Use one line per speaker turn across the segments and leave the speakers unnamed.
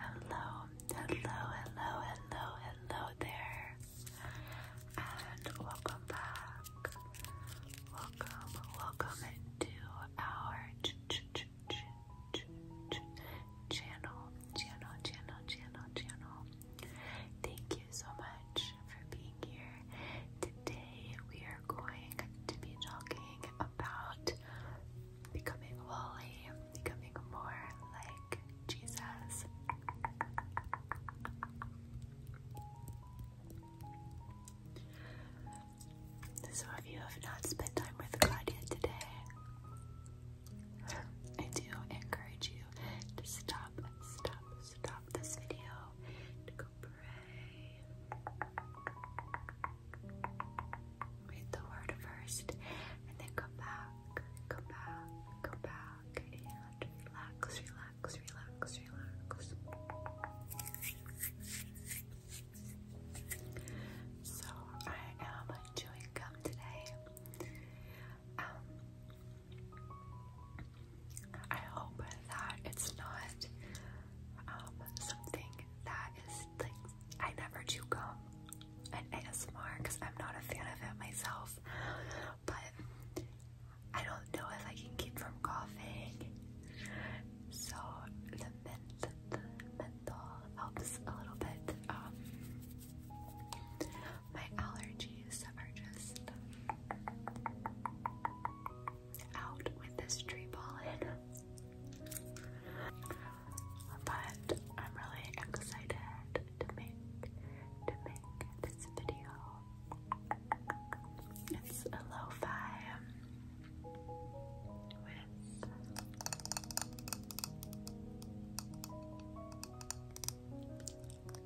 Hello, hello, hello, hello, hello there, and welcome back. Welcome, welcome to our channel, channel, channel, channel, channel. Thank you so much for being here. Today we are going to be talking about becoming holy, becoming more like Jesus. So, if you have not spent time with Claudia today, I do encourage you to stop, stop, stop this video, to go pray, Read the word first and then come back, come back, come back, and relax, relax, relax, relax. So I am chewing gum today. Um, I hope that it's not um, something that is like I never chew gum an ASMR because I'm not a fan of it myself, but I don't know if I can keep from coughing. So the mint, helps a little bit. Um, my allergies are just out with this tree ball, But I'm really excited to make to make this video. It's a lo-fi with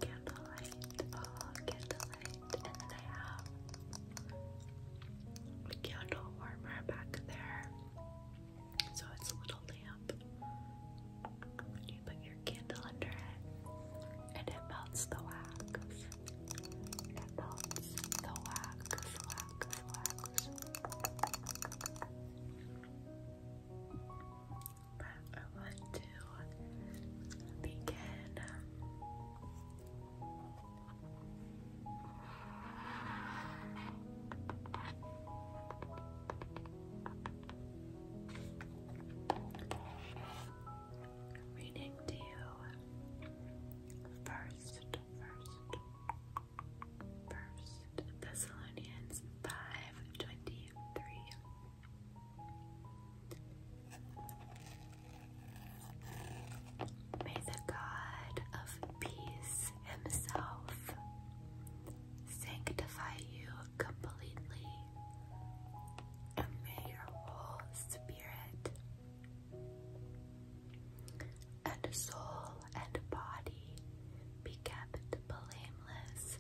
candlelight, oh, candlelight, and then I have a candle warmer back there. So it's a little lamp. You put your candle under it and it melts the wax. But I want to begin Reading to you first, first, first Thessalonians five twenty three. May the God of peace himself sanctify you completely, and may your whole spirit and soul and body be kept blameless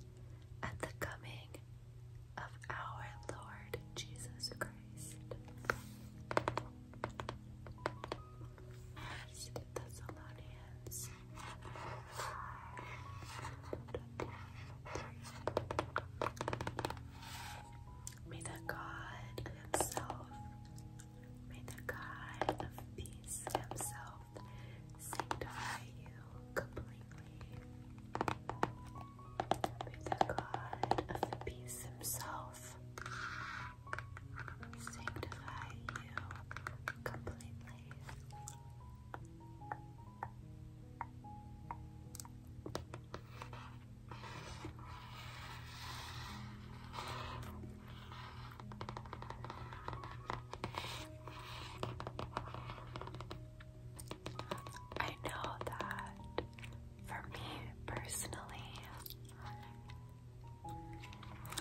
at the coming of our Lord Jesus Christ. Thessalonians 5 May the God Himself, may the God of peace Himself sanctify you completely. May the God of peace Himself yourself. you I know that for me personally,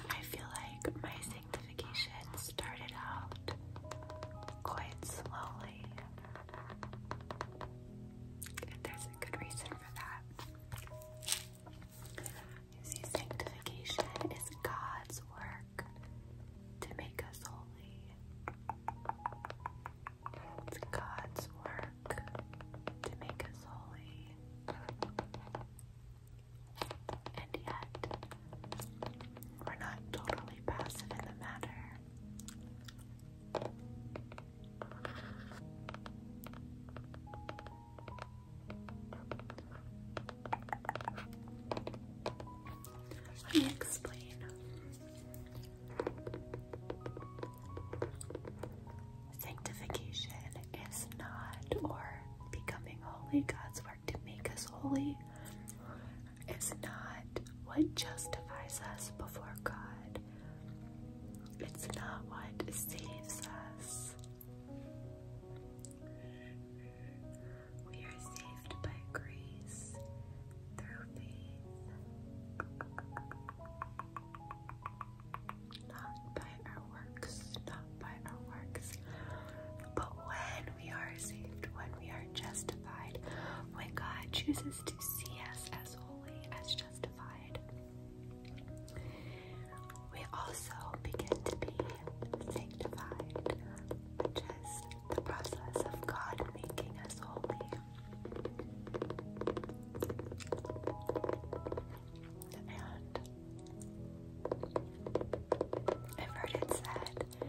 I feel like my sanctification started out quite slowly, and there's a good reason for that. You sanctification is God's work to make us holy. It's God's work to make us holy. And yet, we're not totally passive in the matter. Let me explain. Sanctification is not, or becoming holy, God's work to make us holy, It's not what justifies us before God. It's not what saves us. We are saved by grace through faith. Not by our works, not by our works. But when we are saved, when we are justified, when God chooses to see us as holy, as justified, we also begin to be sanctified, which is the process of God making us holy. And I've heard it said the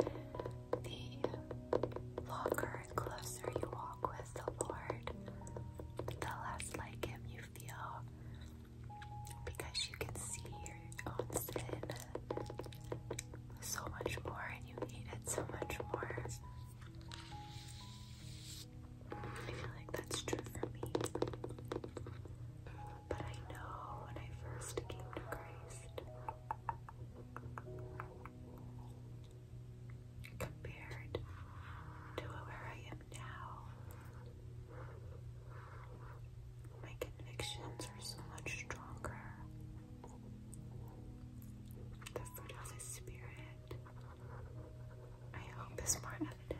longer and closer you walk with the Lord, the less like Him you feel because you can see your own sin so much more and you hate it so much more. I feel like that's true for me. But I know when I first came to Christ, compared to where I am now, my convictions are so much stronger. The fruit of the Spirit I hope this more evident.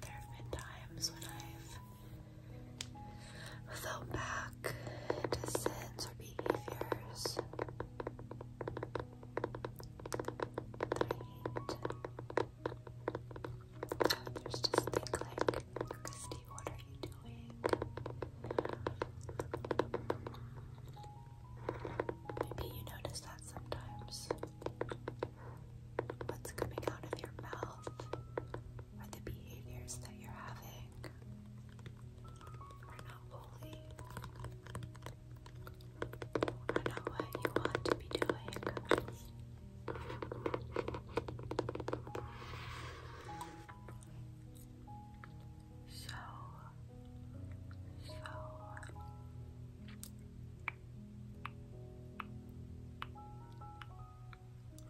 There have been times when I've felt back into sins or behaviors that I just things like, what are you Maybe you notice that sometimes. What's coming out of your mouth are the behaviors that you're having are not fully not what you want to be doing so, so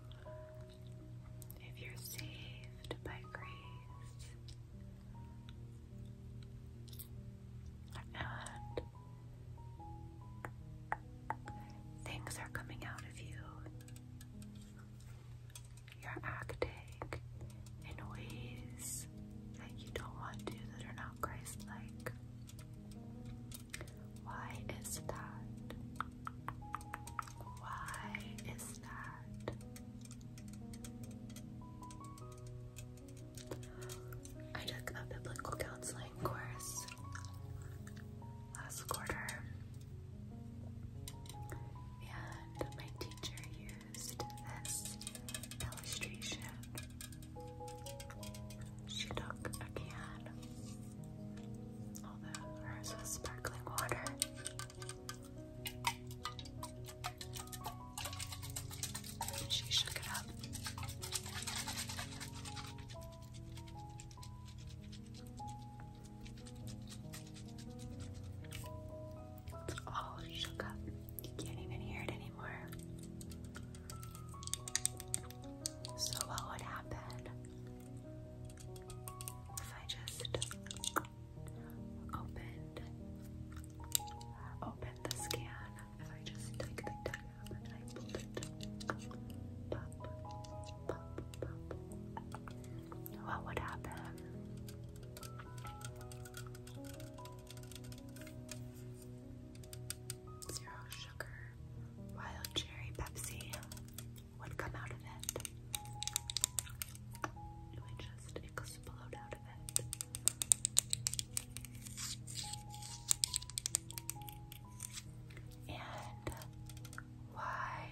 if you're saved by grace and things are coming out of you you're acting in ways that you don't want to, that are not Christ like. Why is that? Why is that? I took a biblical counseling course last quarter and my teacher used this illustration. She took a can, although hers was sparkling water. She shook it up. It's all shook up. You can't even hear it anymore. So, what would happen if I just opened opened the scan? If I just take the tag and I pulled what would happen? Zero sugar, wild cherry Pepsi would come out of it. It would just explode out of it. And why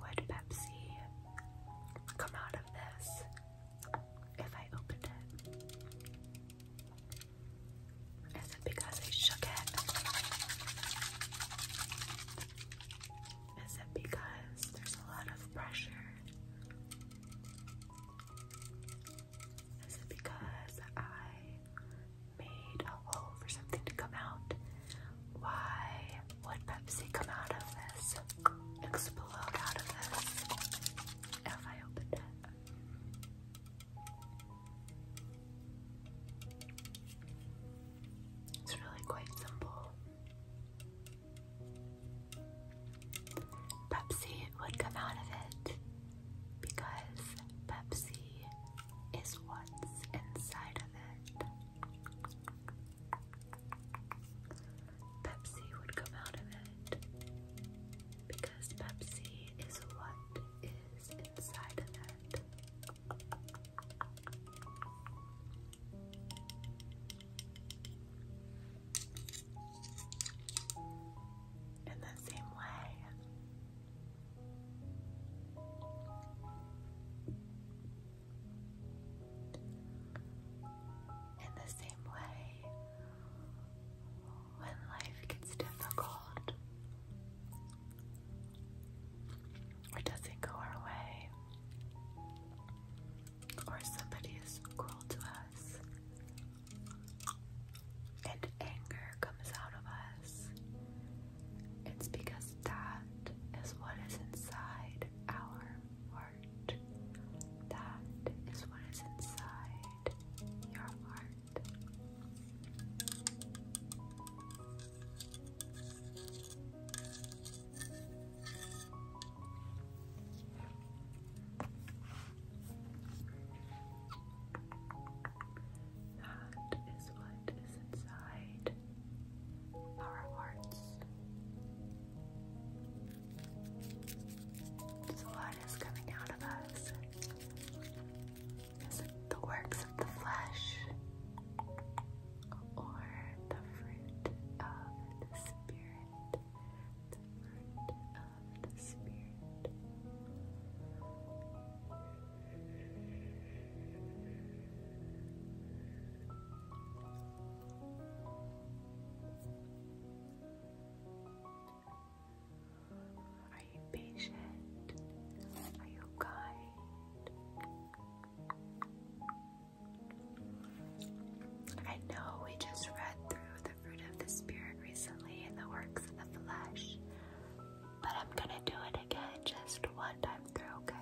would Pepsi come out of this if I opened it? Is it because I shook it? Is it because there's a lot of pressure? Is it because I made a hole for something to come out? Why would Pepsi come out of this? Explode out of this? If I opened it. It's really quite simple. Pepsi would come out of it because Pepsi is what's inside of it. Pepsi would come out of it because Pepsi is what is inside of it. In the same way, in the same way, when life gets difficult or doesn't go our way, or somebody is cruel to us, and anger comes out of us. It's because that is what is inside our heart. That is what is inside your heart. That is what is inside our hearts. what is coming out of us? Is the works of the flesh or the fruit of the Spirit? The fruit of the Spirit. Are you patient? Are you kind? I know we just read through the fruit of the Spirit recently in the works of the flesh, but I'm gonna do it again just one time through, okay?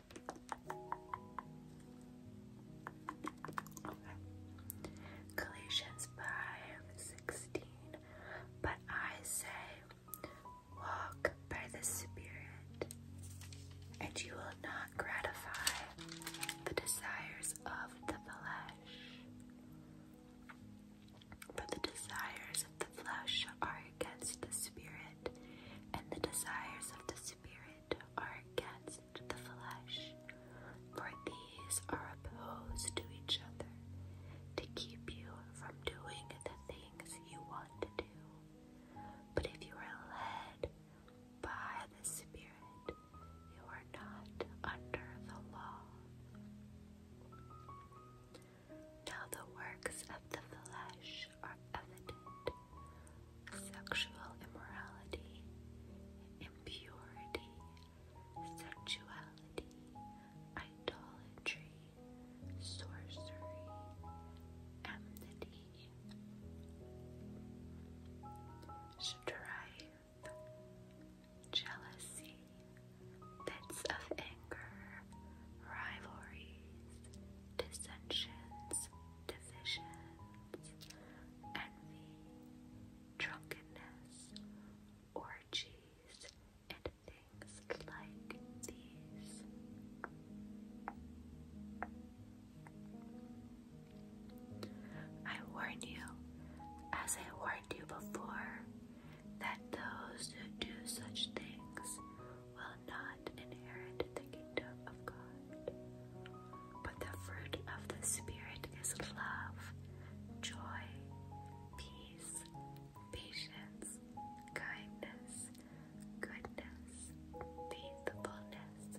Okay. Galatians But I say, walk by the Spirit, and you will not gratify the desires of the flesh. For the desires of the flesh are against the Spirit and the desires of the spirit are against the flesh, for these are opposed to each other to keep you from doing the things you want to do. But if you are led by the Spirit, you are not under the law. Now, the works of the flesh are evident sexual immorality, impurity, sexuality, idolatry, sorcery, enmity, strife, jealousy, fits of anger, rivalries, dissensions, divisions, envy, drunkenness, orgies, and things like these. I warn you, as I warned you before, that those who do such things will not inherit the kingdom of God. But the fruit of the Spirit is love, joy, peace, patience, kindness, goodness, faithfulness,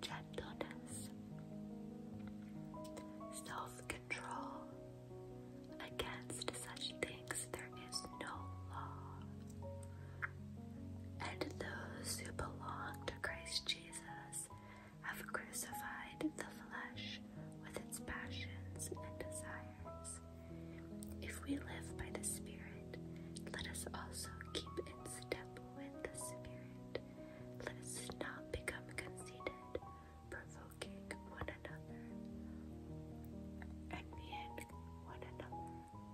gentleness, self control. Against such things there is no law. And those who belong to Christ Jesus have crucified the flesh with its passions and desires. If we live by the Spirit, let us also keep in step with the Spirit. Let us not become conceited, provoking one another, envying one another.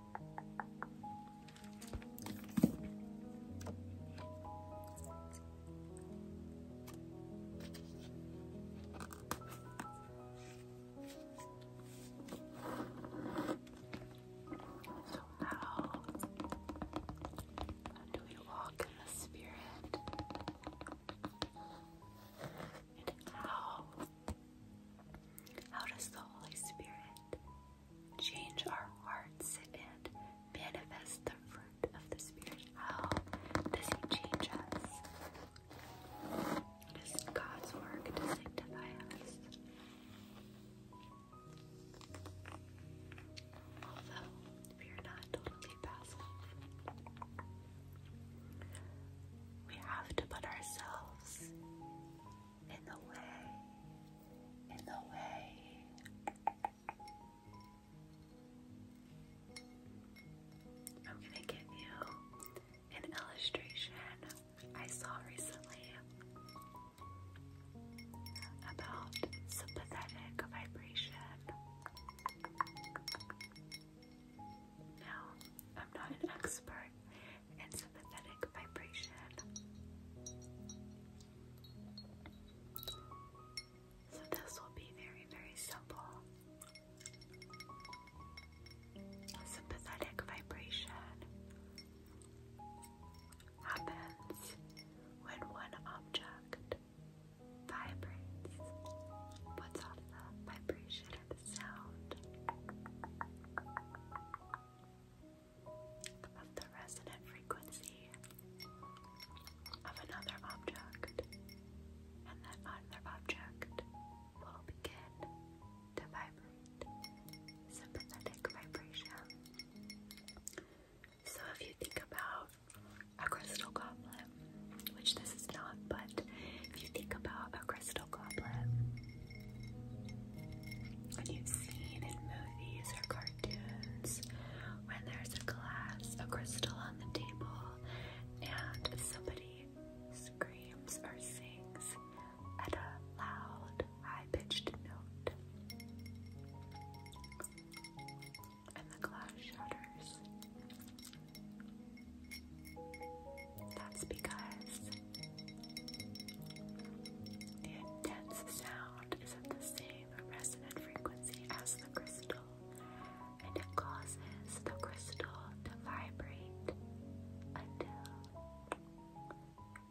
So how, do we walk in the spirit? And how how does the Holy Spirit change our hearts and manifest the fruit of the Spirit? How does He change us? It is God's work to sanctify us. Although we are not totally passive, we have to put ourselves in the way, in the way. I'm gonna give you an illustration I saw recently about sympathetic vibration. Now, I'm not an expert and sympathetic vibration. So, this will be very, very simple. Sympathetic vibration happens when one object vibrates, puts off the vibration the sound of the resonant frequency of another object, and that other object will begin to vibrate sympathetic vibration. So, if you think about a crystal goblet, which this is not, but if you think about a crystal goblet. you've seen in movies or cartoons when there's a glass, a crystal on the table, and somebody screams or sings at a loud, high pitched note. And the glass shatters. That's because the intense sound is at the same resonant frequency as the crystal, and it causes the crystal to vibrate until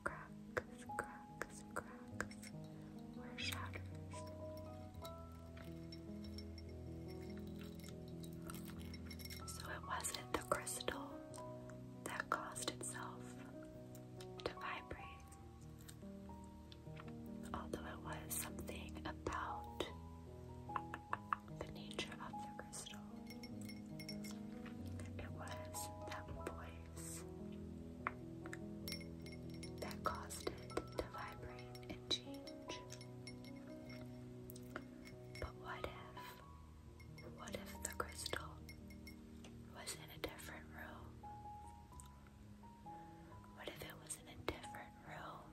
cracks, cracks, cracks, or shatters. So it wasn't crystal that caused itself to vibrate, although it was something about the nature of the crystal. It was that voice that caused it to vibrate and change. But what if what if the crystal was in a different room? What if it was in a different room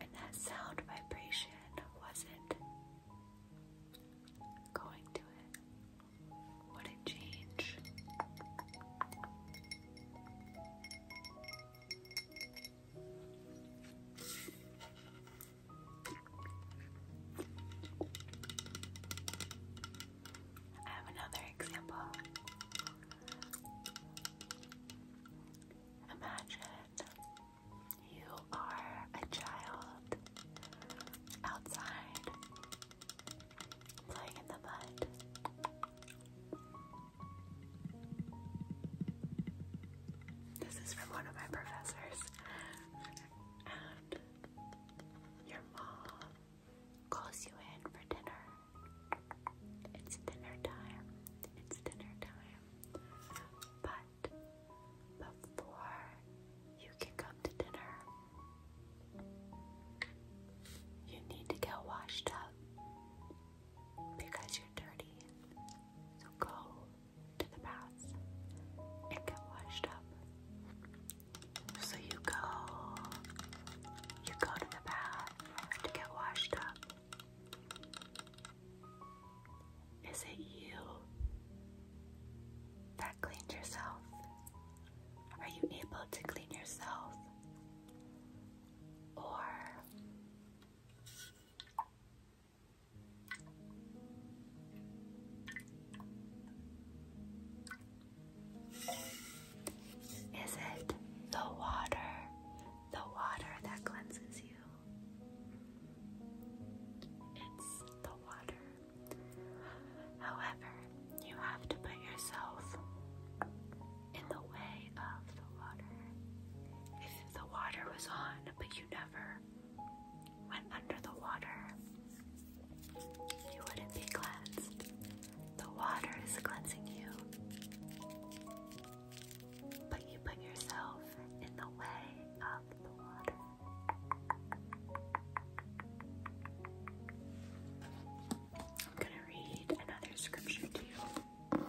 and that sound vibration wasn't going to it? Would it change? I have another example. Imagine you are a child outside playing in the mud. This is from one of my professors. your mom calls you in for dinner. It's dinner time. It's dinner time. But before you can come to dinner, you need to get washed up because you're dirty. So go to the baths and get washed up. So you go, you go to the bath to get washed up. Is it you that cleaned yourself? Are you able to clean yourself? Or is it the water, the water that cleanses you? It's the water. However, you have to put yourself in the way of the water. If the water was on, but you never went under the water, you wouldn't be cleansed. The water is cleansing you. But you put yourself in the way of the water. I'm going to read another scripture to you. John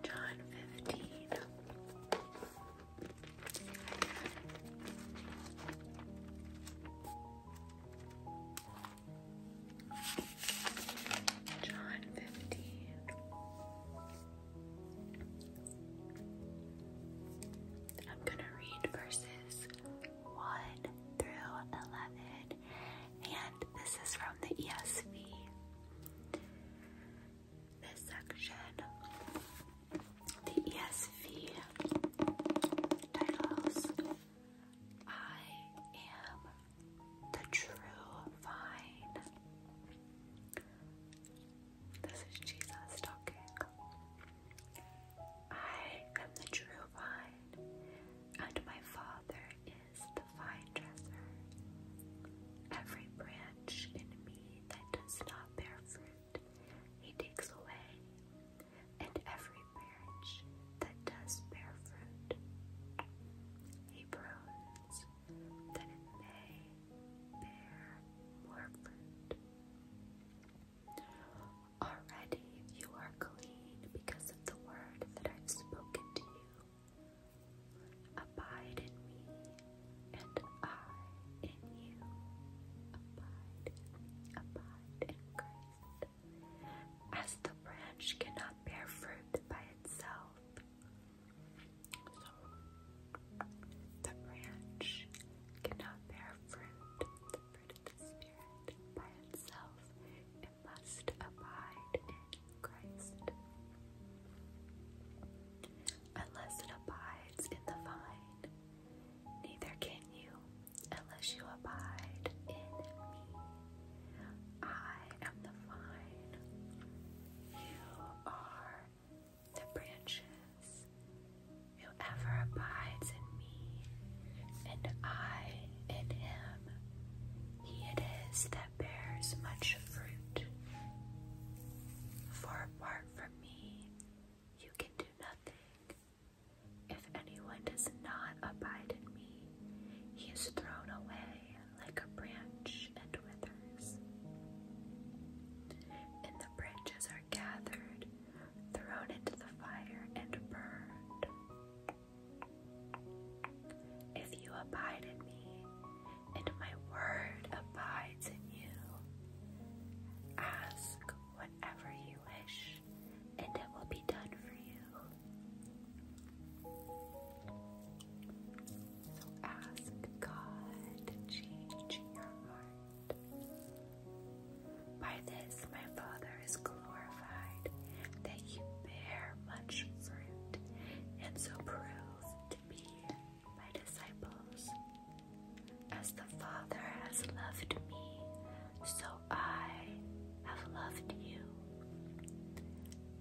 fifteen. John fifteen. I'm going to read verses 1 through 11, and this is from the ESV. This section, the ESV titles I Am the True Vine. This is Jesus talking. I am the true vine, and my Father is the vine dresser. Every branch in me that does not bear fruit, he takes away, and every branch that does bear fruit, he prunes that it may bear more fruit. Already you are clean because of the word that I've spoken to you. Abide in me, and I in you. Abide in me, abide in Christ. As the branch cannot bear fruit by itself, the branch cannot bear fruit, of itself. It must abide in Christ. Unless it abides in the vine, neither can you, unless you abide in me. I am the vine, you are the branches. Whoever abides in me, and I in him, he it is that bears much fruit. For apart from me, you can do nothing. If anyone does not abide in me, he is thrown away like a branch and withers the are gathered, thrown into the fire, and burned. If you abide in me, and my word abides in you, ask whatever you wish, and it will be done for you. So ask God to change your heart. By this my Father is glorified, that you bear much fruit, and so prove to be my disciples. As the Father has loved me, so I have loved you.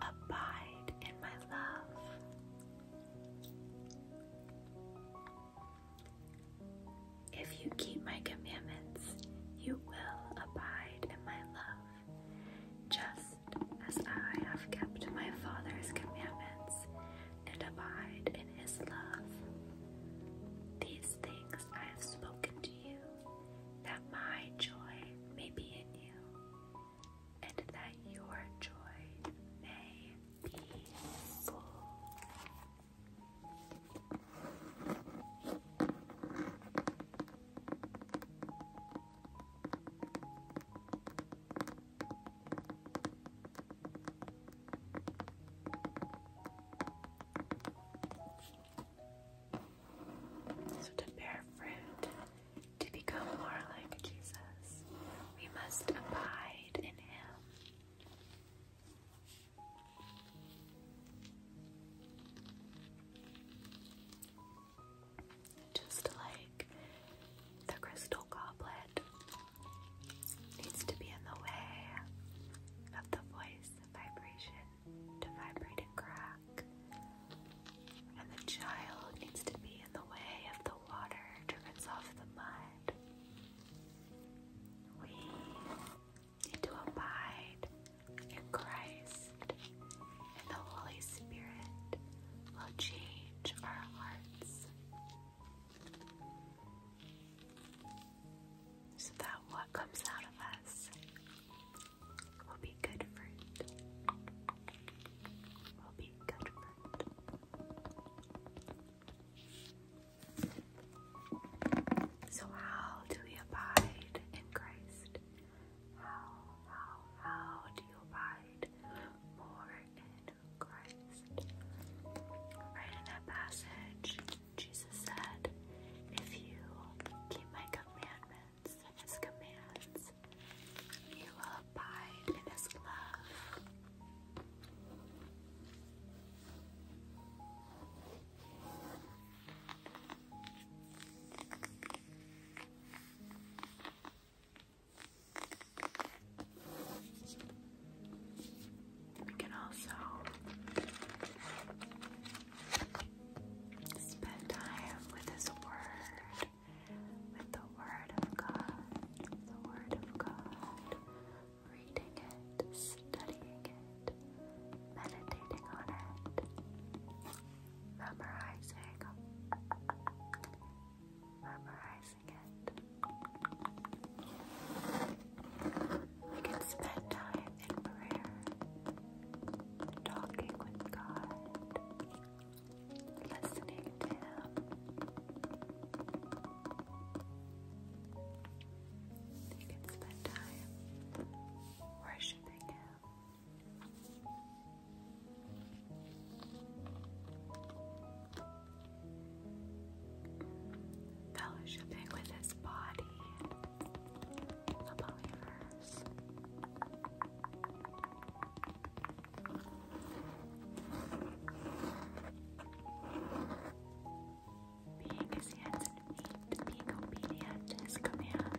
Abide in my love. If you keep my commandments, you will abide in my love, just as I have kept my Father's commandments and abide in his love. These things I have spoken to you, that my joy may be in you, and that your joy may so, to bear fruit, to become more like Jesus, we must abide in Him. Just like the crystal goblet needs to be in the way of the voice the vibration to vibrate and crack, and the child needs to be in the way of the water to rinse off the mud. We need to abide in Christ, and the Holy Spirit will change our hearts. So that what comes out of us will be good fruit. Will be good fruit. So, how do we abide in Christ? How, how, how do you abide more in Christ? Right in that passage, Jesus said, If you keep my commandments, his commands, you will in His love. We can also spend time with His Word, with the the Word of God, the Word of God, reading it, studying it, meditating on it, memorizing, memorizing it. We can spend time in prayer, talking with God. Listening to him, you can spend time worshiping Him. Fellowshipping with his body, the believers. Being his hands and feet, being obedient to his commands.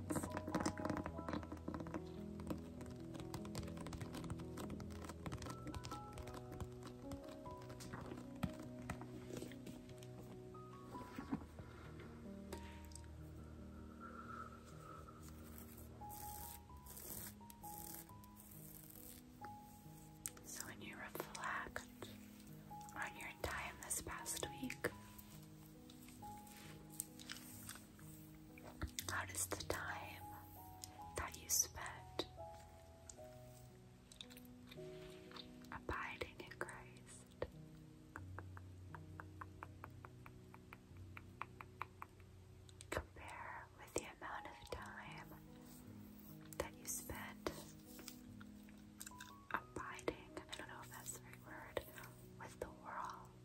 So, when you reflect on your time this past week, how does the time that you spent abiding in Christ? compare with the amount of time that you spent abiding, I don't know if that's the right word, with the world.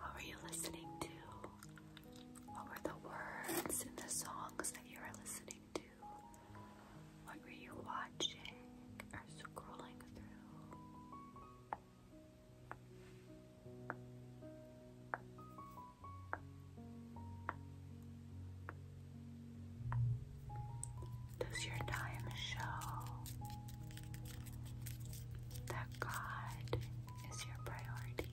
What were you listening to? What were the words in the songs that you were listening to? What were you watching or scrolling through? Does your time show that God is your priority?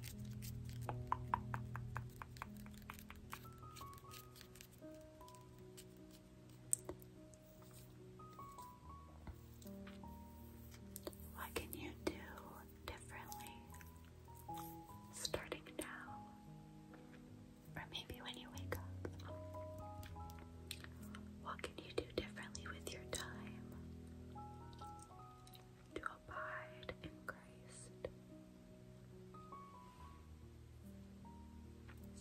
What can you do differently starting now? Or maybe when you wake up? What can you do differently with your time to abide in Christ?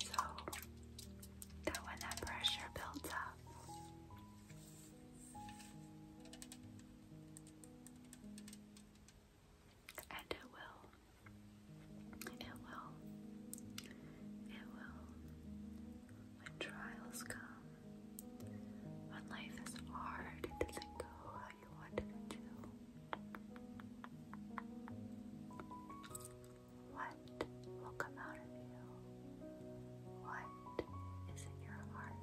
So that when that pressure builds up, and it will. It will. It will. When trials come, when life is hard, it doesn't go how you want it to. What will come out of you? What is in your heart?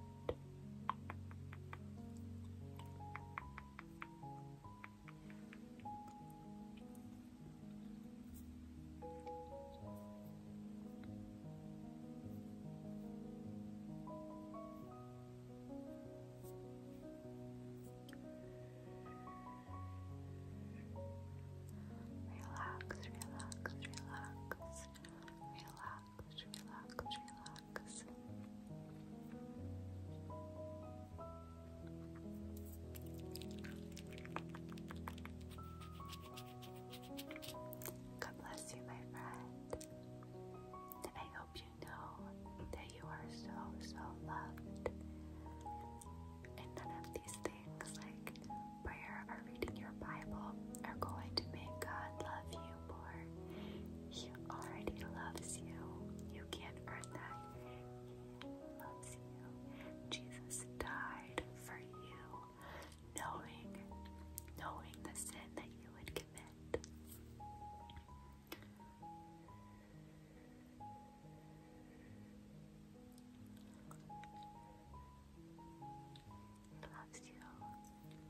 Relax, relax, relax, relax, relax, relax. God bless you, my friend. And I hope you know that you are so, so loved. And none of these things like prayer or reading your Bible are going to make God love you more. He already loves you. You can't earn that. He loves you. Jesus died for you, knowing, knowing the sin that you would commit loves you.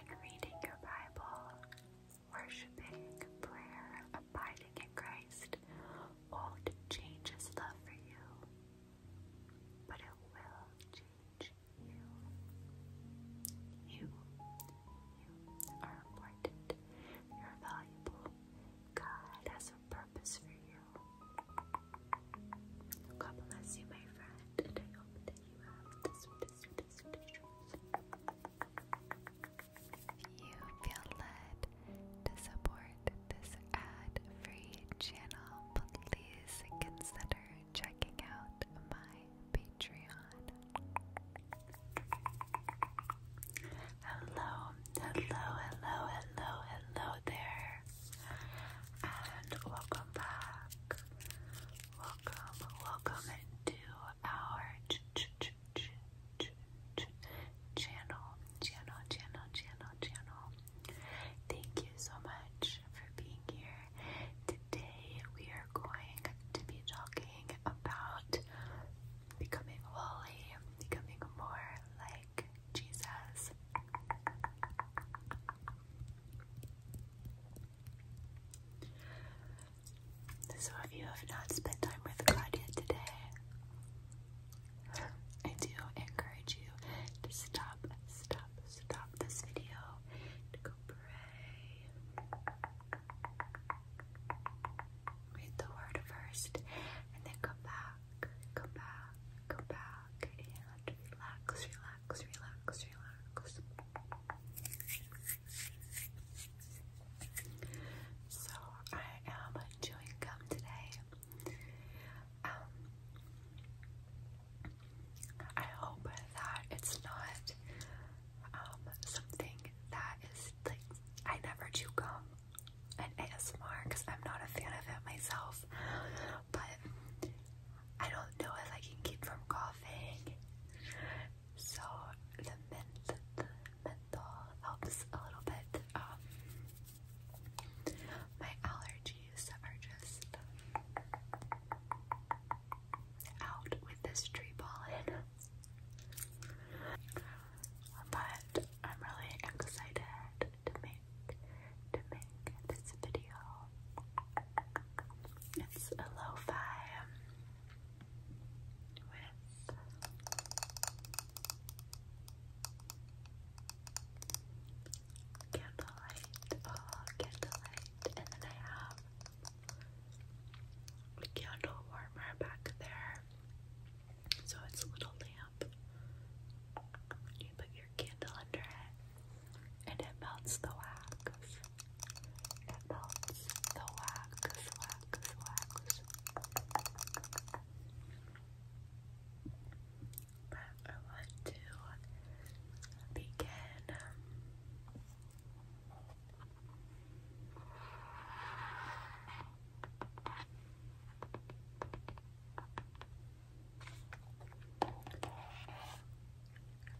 In reading your Bible, worshiping, prayer, abiding in Christ won't change His love for you, but it will change you. You you are important. You're valuable. God has a purpose for you. God bless you, my friend, I hope that you have the sweetest, sweetest, sweetest dreams. You feel led to support this ad-free channel. Please consider checking out my Patreon. Hello, hello, hello, hello, hello there. And welcome back. Welcome, welcome to our channel, channel, channel, channel, channel. Thank you so much for being here. Today we going to be talking about becoming holy, becoming more like Jesus. So, if you have not spent time with God yet today, I do encourage you to stop, stop, stop this video, to go pray, Read the word first and then come back, come back, come back, and relax, relax, relax, relax. So I am chewing gum today. Um, I hope that it's not um, something that is like I never chew gum and ASMR because I'm not a fan of it myself, but I don't know if I can keep from coughing. So the mint, menthol helps a little bit. Um, my allergies are just out with this tree pollen. But I'm really excited to make to make this video. It's a lo with candlelight, oh candlelight, and then I have a candle warmer back there. So it's a little lamp. You put your candle under it and it melts the wax. It melts the wax, wax, wax. But I want to begin um,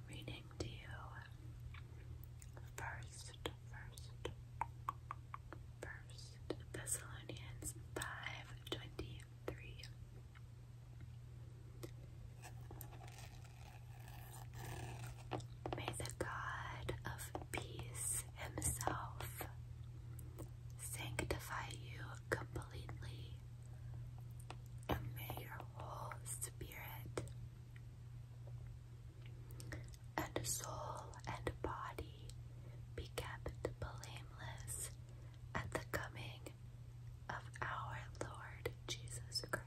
Reading to you first, first, first Thessalonians five twenty three. May the God of peace himself sanctify you completely, and may your whole spirit and soul and body be kept blameless at the coming of our Lord Jesus Christ.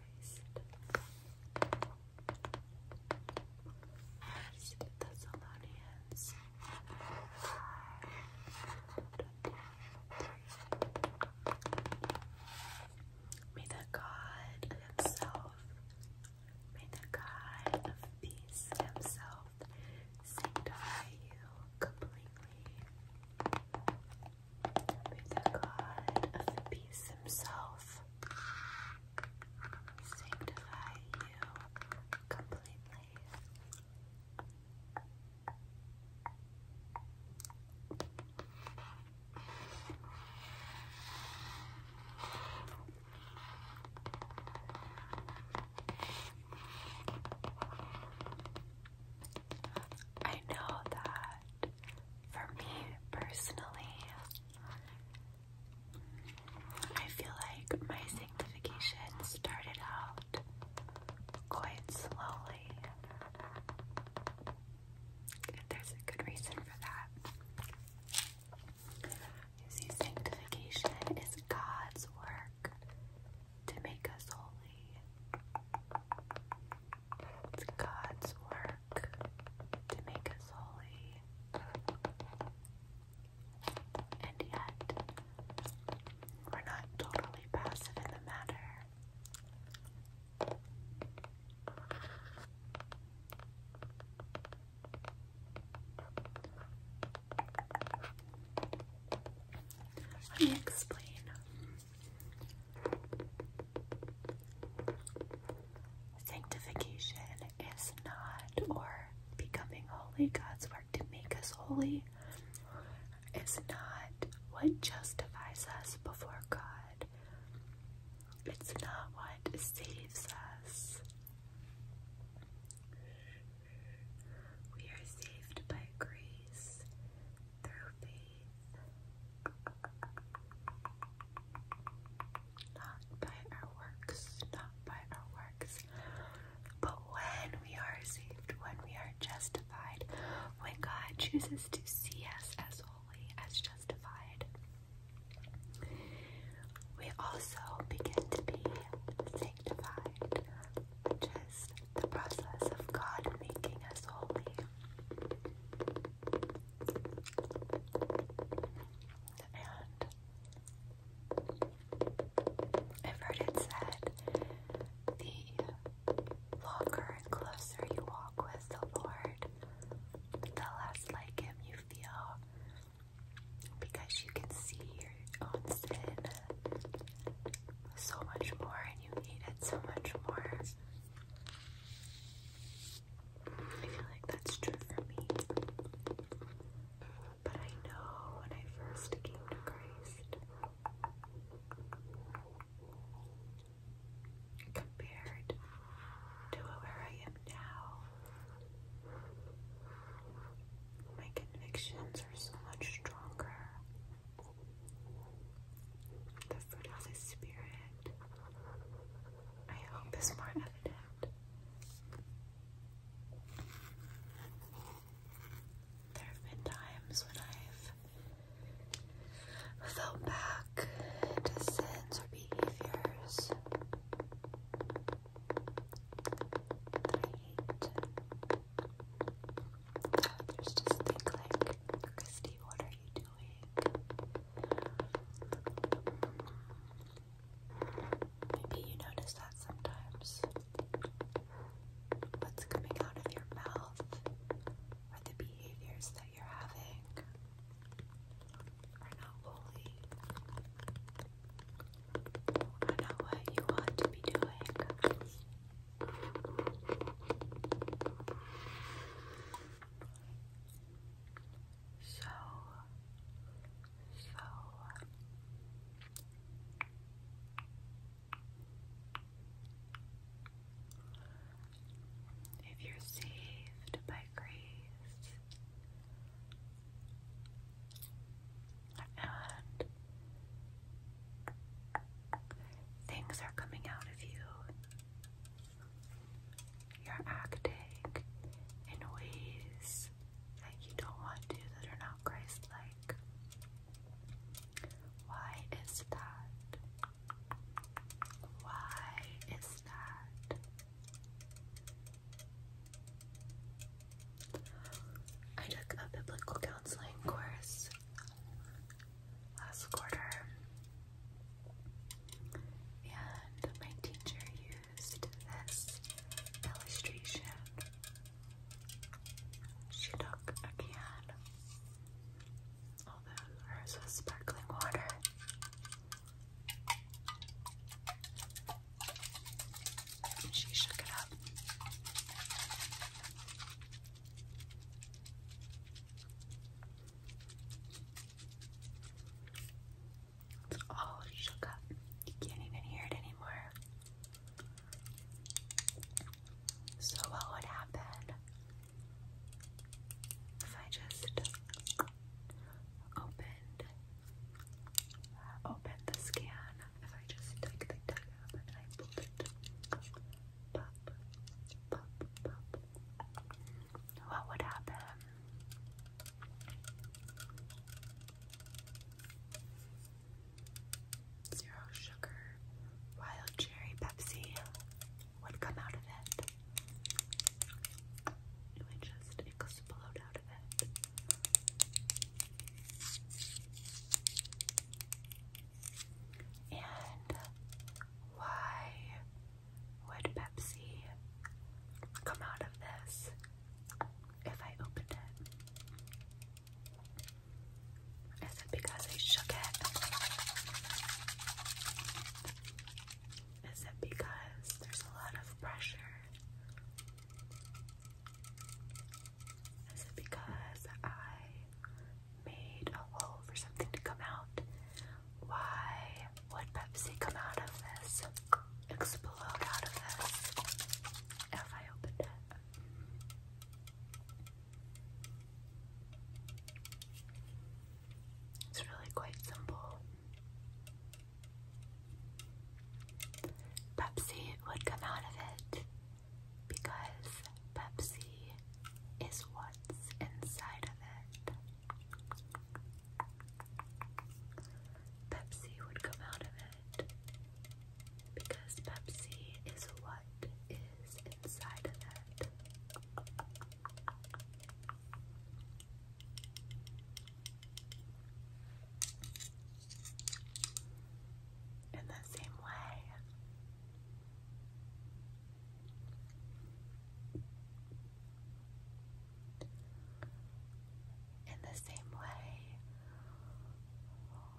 May the God Himself, may the God of peace Himself sanctify you completely. May the God of peace Himself sanctify you completely. I know that for me personally, I feel like my sanctification started out quite slowly. There's a good reason for that. You see, sanctification is God's work to make us holy. It's God's work to make us holy. And yet, we're not totally passive in the matter. Let me explain. Sanctification is not, or becoming holy, God's work to make us holy, is not what justifies us before God. It's not what saves us. We are saved by grace through faith not by our works, not by our works, but when we are saved, when we are justified, when God chooses to see us as holy, as justified, we also begin to be sanctified, which is the process of God making us holy. And I've heard it said the longer and closer you walk with the Lord, the less like Him you feel because you can see your own sin so much more and you need it so much more. I feel like that's true for me. But I know when I first came to Christ, compared to where I am now, my convictions are so much stronger. The fruit of the Spirit I hope is more evident. There have been times when I've felt back to sins or behaviors that I hate. just things like, Christy, what are you doing? Maybe you notice that sometimes. What's coming out of your mouth or the behaviors that you're having are not holy, are not what you want to be doing so, so if you're saved by grace and things are coming out of you you're acting in ways that you don't want to, that are not Christ like. Why is that? Why is that? I took a biblical counseling course last quarter and my teacher used this illustration. She took a can, although hers was sparkling water. she shook it up. It's all shook up. You can't even hear it anymore. So, what would happen if I just opened, uh, opened the scan? If I just took the tag up and I pulled it, pop, pop, pop what would happen? Zero sugar, wild cherry Pepsi would come out of it. It would just explode out of it. And why would Pepsi come out of this if I opened it? Is it because I shook it? Is it because there's a lot of pressure? Is it because I made a hole for something to come out? Why would Pepsi come out of this? Explode out of this if I opened it. It's really quite simple. Pepsi would come out of it because Pepsi is what's inside of it. Pepsi would come out of it because Pepsi is what is inside of it. In the same way, in the same way,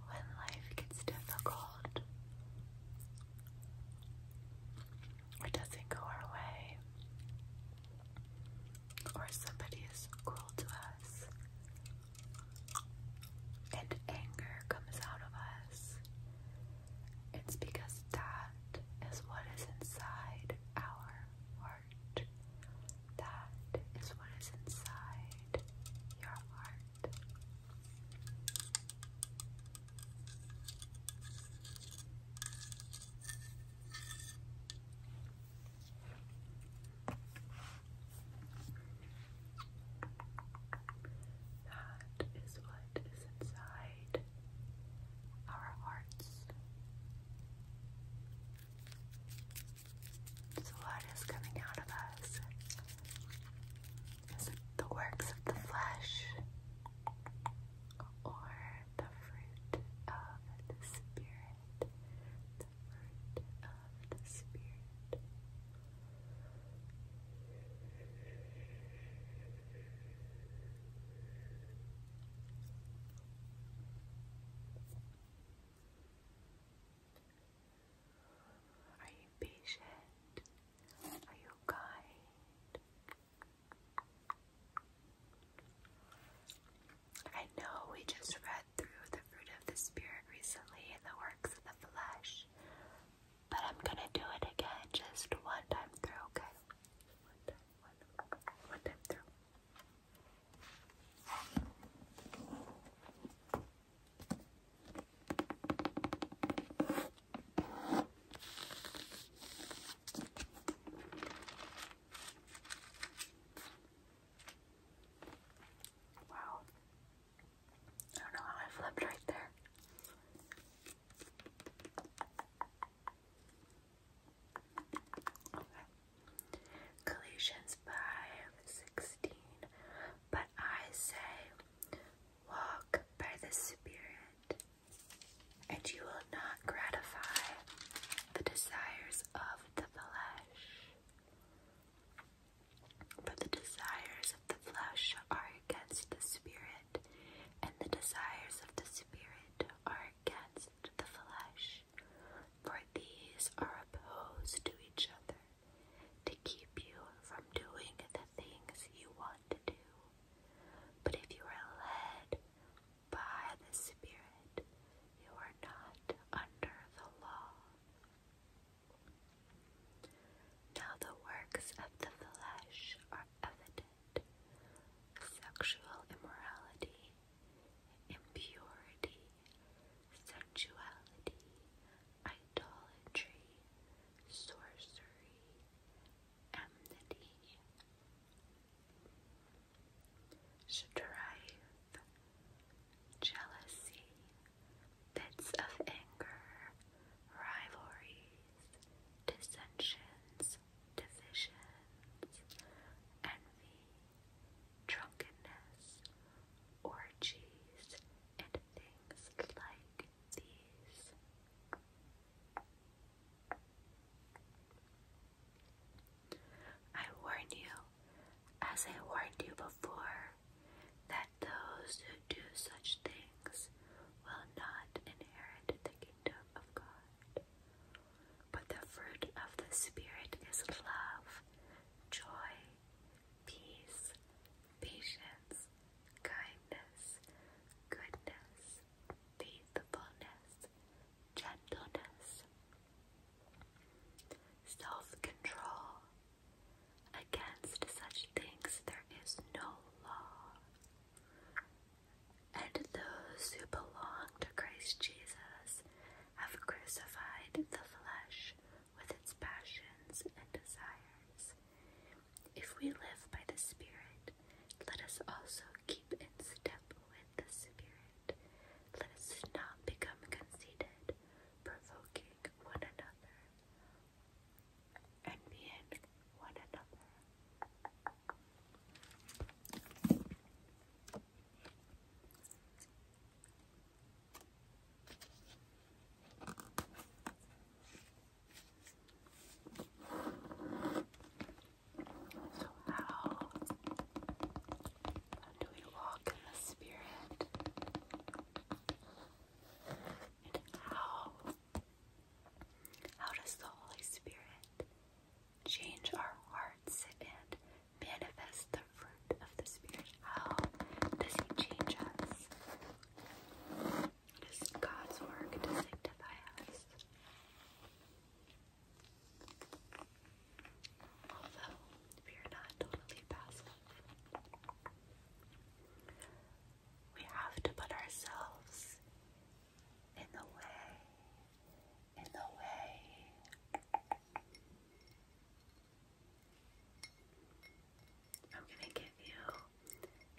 when life gets difficult or doesn't go our way, or somebody is cruel to us, and anger comes out of us, it's because that is what is inside our heart. That is what is inside your heart. That is what is inside our hearts. So, what is coming out of us? Is it the works of the flesh or the fruit of the Spirit? The fruit of the Spirit. Are you patient? Are you kind? I know we just read through the fruit of the Spirit recently in the works of the flesh, but I'm gonna do it again just one time through, okay? One time, one, time through. Wow. I don't know how I flipped right there. Okay. Galatians But I say, walk by the Spirit, and you will not gratify the desires of the flesh. But the desires of the flesh are against the Spirit, and the desires of the spirit are against the flesh, for these are opposed to each other to keep you from doing the things you want to do. But if you are led by the Spirit, you are not under the law. Now the works of the flesh are evident sexual immorality, impurity, sensuality, idolatry, sorcery, enmity, strife, jealousy, fits of anger, rivalry, dissensions, divisions, envy, drunkenness, orgies, and things like these. I warn you, as I warned you before, that those who do such things will not inherit the kingdom. But the fruit of the Spirit is love, joy, peace, patience, kindness, goodness, faithfulness, gentleness, self control. Against such things there is no law. And those who belong to Christ Jesus have crucified the flesh with its passions and desires. If we live by the Spirit, let us also keep in step with the Spirit. Let us not become conceited, provoking one another, and being one another. So, how do we walk in the Spirit? And how how does the Holy Spirit change our hearts and manifest the fruit of the Spirit? How does He change us? It is God's work to sanctify us. Although we are not totally passive, we have to put ourselves in the way, in the way. I'm going to give you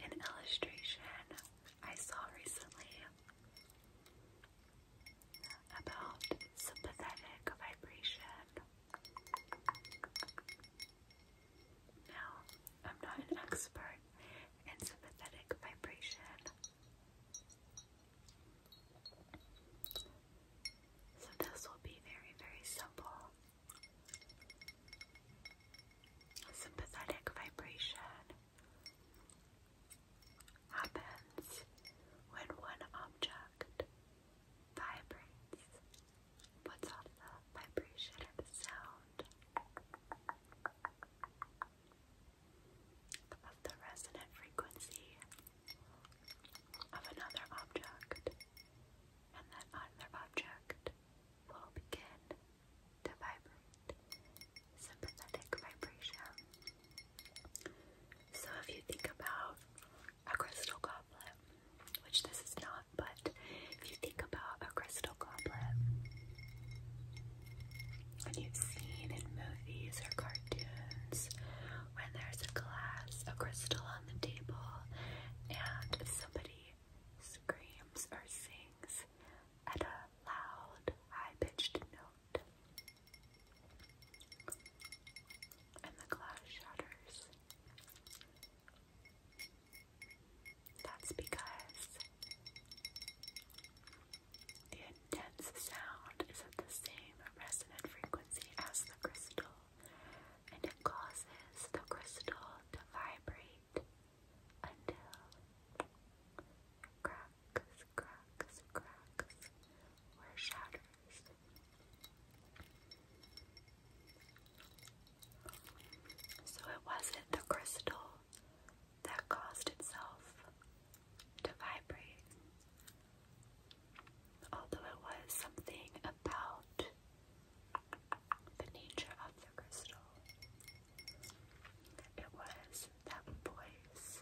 an illustration I saw recently about sympathetic vibration. Now, I'm not an expert in sympathetic vibration. So this will be very, very simple. Sympathetic vibration happens when one object vibrates, puts off the vibration sound of the resonant frequency of another object, and that other object will begin to vibrate sympathetic vibration. So, if you think about a crystal goblet, which this is not but if you think about a crystal goblet, when you've seen in movies or cartoons when there's a glass, a crystal on the table, and somebody screams or sings at a loud, high pitched note, and the glass shatters. That's because the intense sound is at the same resonant frequency as the crystal, and it causes the crystal to vibrate until it cracks, cracks, cracks, or shatters. So it wasn't the crystal that caused itself to vibrate. Although it was something about the nature of the crystal, it was that voice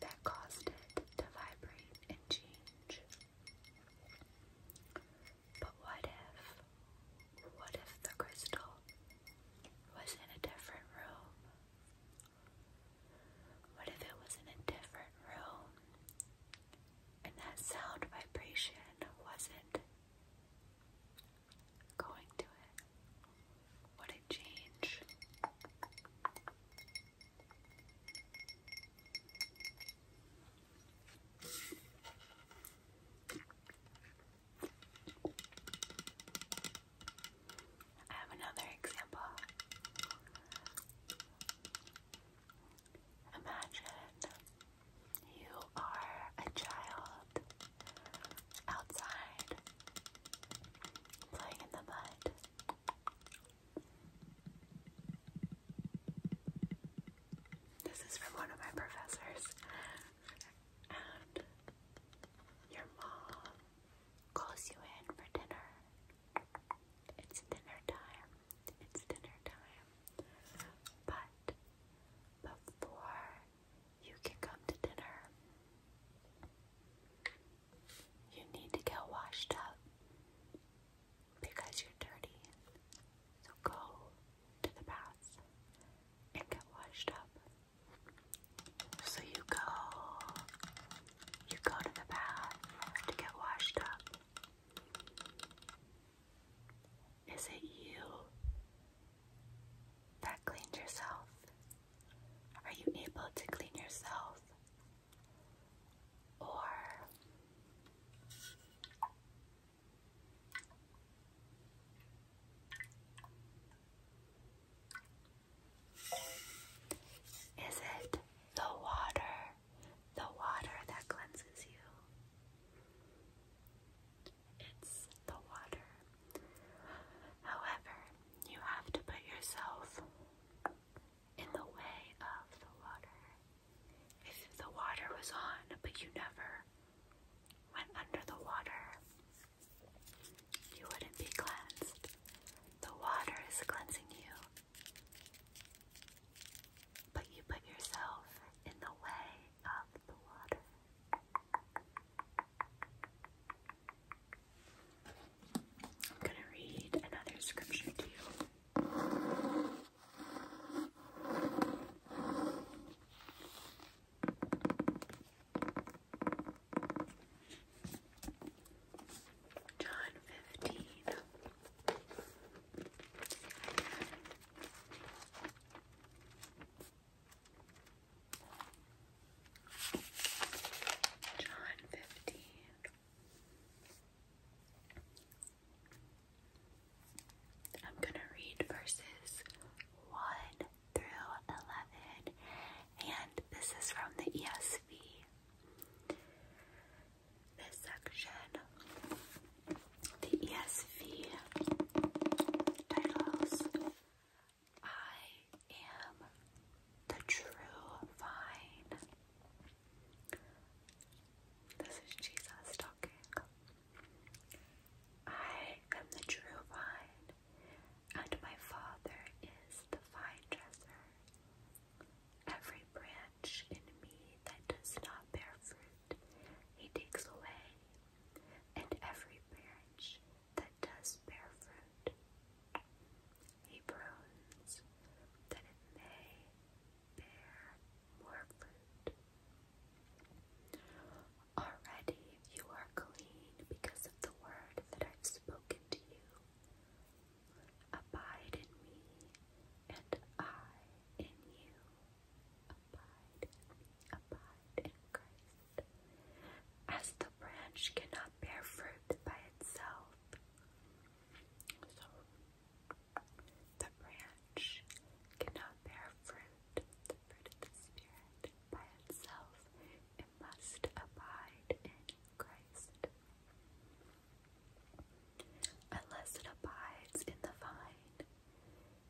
that caused it to vibrate and change. But what if, what if the crystal was in a different room? What if it was in a different room and that sound vibration wasn't going to it? Would it change? I have another example. Imagine you are a child outside playing in the mud. This is from one of my professors. your mom calls you in for dinner. It's dinner time. It's dinner time. But before you can come to dinner, you need to get washed up because you're dirty. So go to the baths and get washed up. So you go, you go to the bath to get washed up. Is it you that cleaned yourself? Are you able to clean yourself? Or is it the water, the water that cleanses you? It's the water. However, you have to put yourself in the way of the water. If the water was on, but you never went under the water, you wouldn't be cleansed. The water is cleansing you, but you put yourself in the way of the water. I'm going to read another scripture to you. John fifteen. John fifteen. I'm going to read verses 1 through 11, and this is from the ESV. This section, the ESV titles I Am the True Vine. This is Jesus talking. I am the true vine, and my Father is the vine dresser. Every branch in me that does not bear fruit, he takes away, and every branch that does bear fruit, he prunes, that it may bear more fruit. Already you are clean because of the word that I've spoken to you. Abide in me, and I in you. Abide in me, abide in Christ. As the branch cannot bear fruit by itself, the branch cannot bear fruit, the fruit of the Spirit, by itself. It must abide in Christ. Unless it abides in the vine,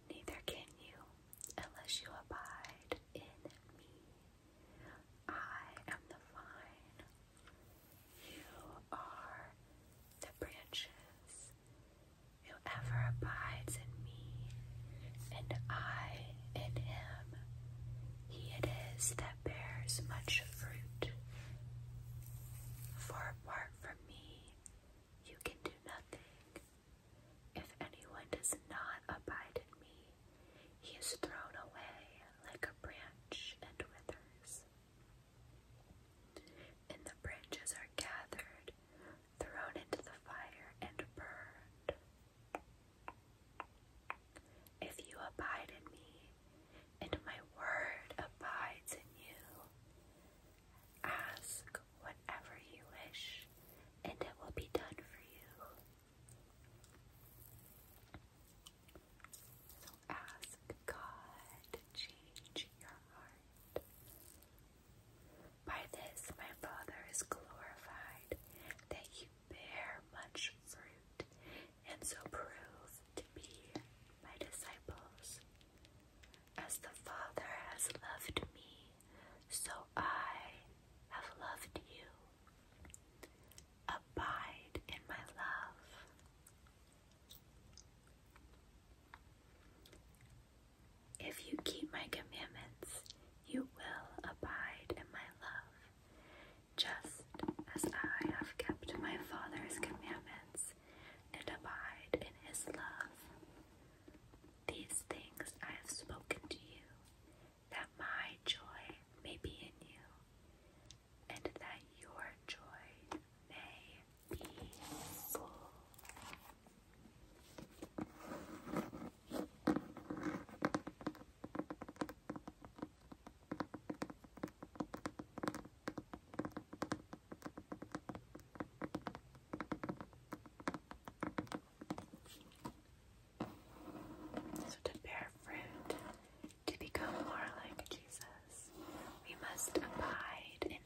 neither can you, unless you abide in me. I am the vine, you are the branches. Whoever abides in me and I in him, he it is that bears much fruit. For apart from me, you can do nothing. If anyone does not abide in me, he is thrown away like a branch and withers. And the branches are gathered, thrown into the fire, and burned. If you abide in me, and my word abides in you, ask whatever you wish, and it will be done for you. So ask God change your heart. By this my Father is glorified, that you bear much fruit, and so prove to be my disciples. As the Father has loved me, so I have loved you. Abide in my love. If you keep my commandments, you will abide in my love, just as I have kept my Father's commandments and abide in his love. These things I have spoken to you, that my joy may be in you, and that your joy may so to bear fruit, to become more like Jesus, we must abide in him.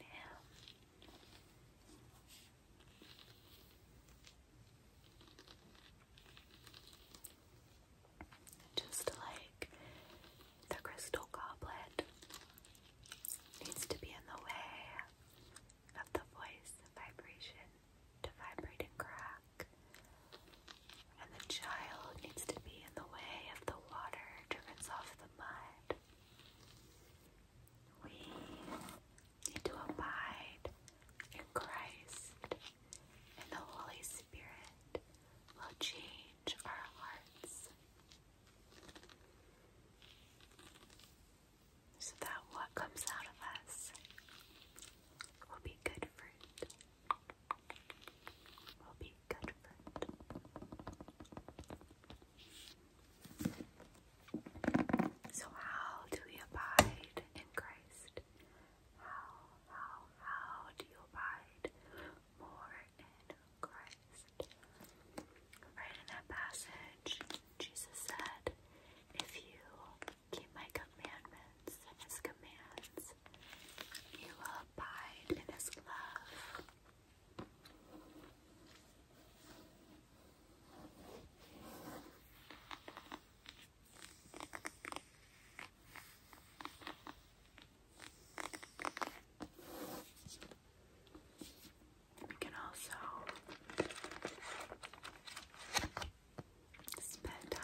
Just like the crystal goblet needs to be in the way of the voice vibration to vibrate and crack, and the child needs to be in the way of the water to rinse off the mud. We need to abide in Christ, and the Holy Spirit will change our hearts. So that what comes out of us will be good fruit, good So how do we abide in Christ? How, how, how do you abide more in Christ? Right in that passage, Jesus said, if you keep my commandments and his commands, you will abide in his love, we can also spend time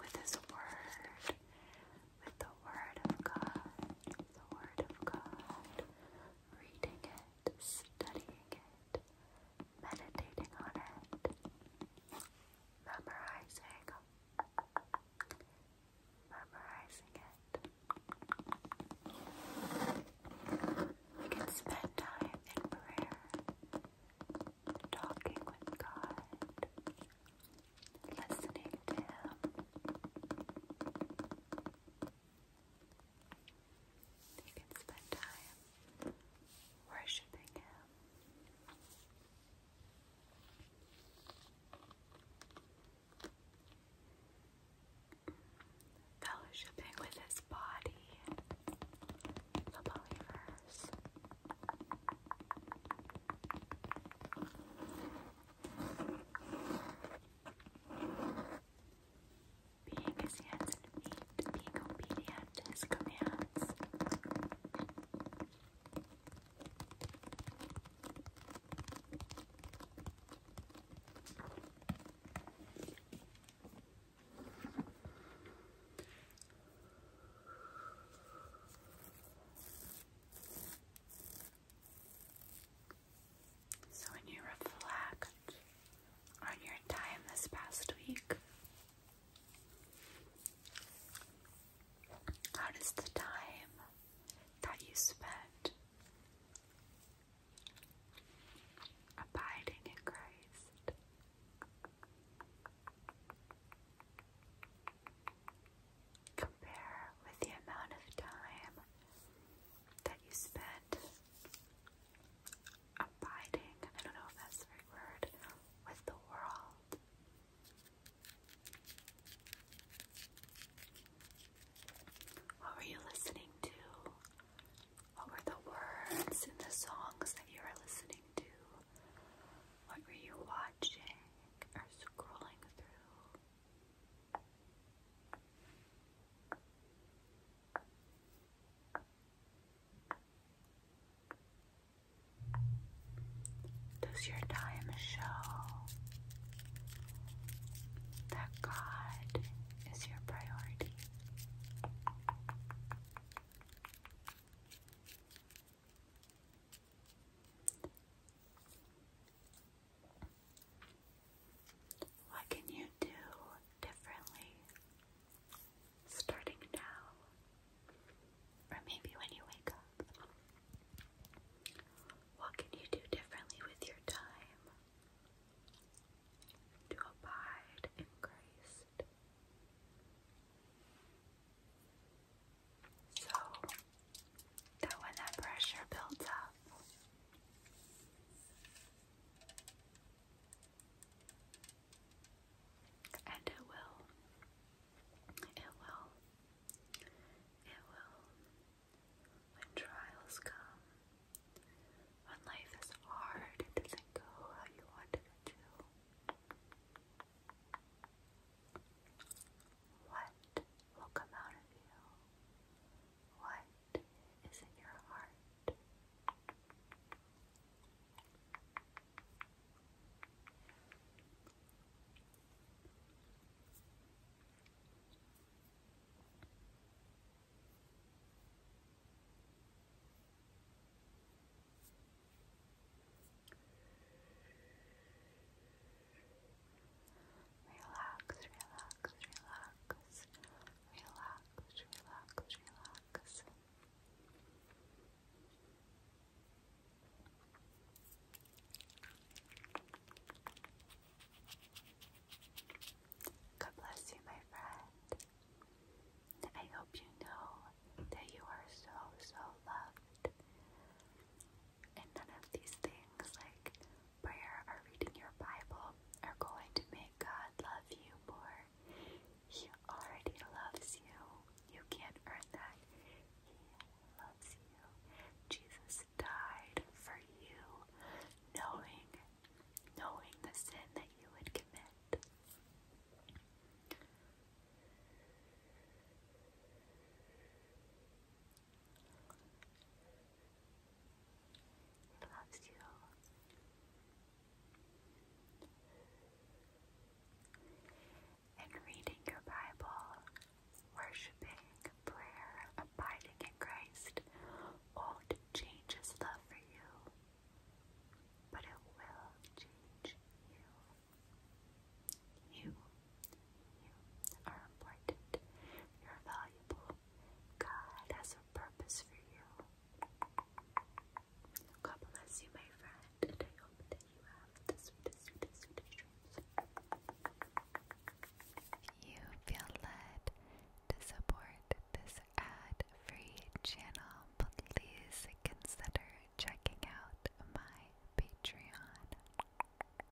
with His Word, with the Word of God, the Word of God reading it, studying it, meditating on it, memorizing, memorizing it. We can spend time in prayer, talking with God, listening to Him. You can spend time worshiping Him. Fellowshipping with his body, the believers. Being his hands and feet, being obedient to his commands. So when you reflect on your time this past week, how does the time that you spent abiding in Christ compare with the amount of time that you spent abiding, I don't know if that's the right word, with the world. What were you listening to? What were the words in the songs that you were listening to? What were you watching or scrolling through? Does your time show that God is your priority? What can you do differently starting now? Or maybe when you wake up? What can you do differently with your time to abide in Christ? So, that when that pressure builds up, and it will, it will, it will, when trials come, when life is hard, it doesn't go how you wanted it to. What will come out of you? What is in your heart? Relax, relax, relax. Relax, relax, relax. God bless you, my friend. I hope you know that you are so, so loved and none of these things like prayer or reading your Bible are going to make God love you more. He already loves you. You can't earn that. He loves you. Jesus died for you, knowing knowing the sin that you would commit loves you. In reading your Bible, worshiping, prayer, abiding in Christ won't change His love for you, but it will change you. You you are important. You're valuable. God has a purpose for you. God bless you, my friend, I hope that you have the sweetest, sweetest, sweetest dreams. you feel led to support this ad-free channel, please consider checking out my Patreon.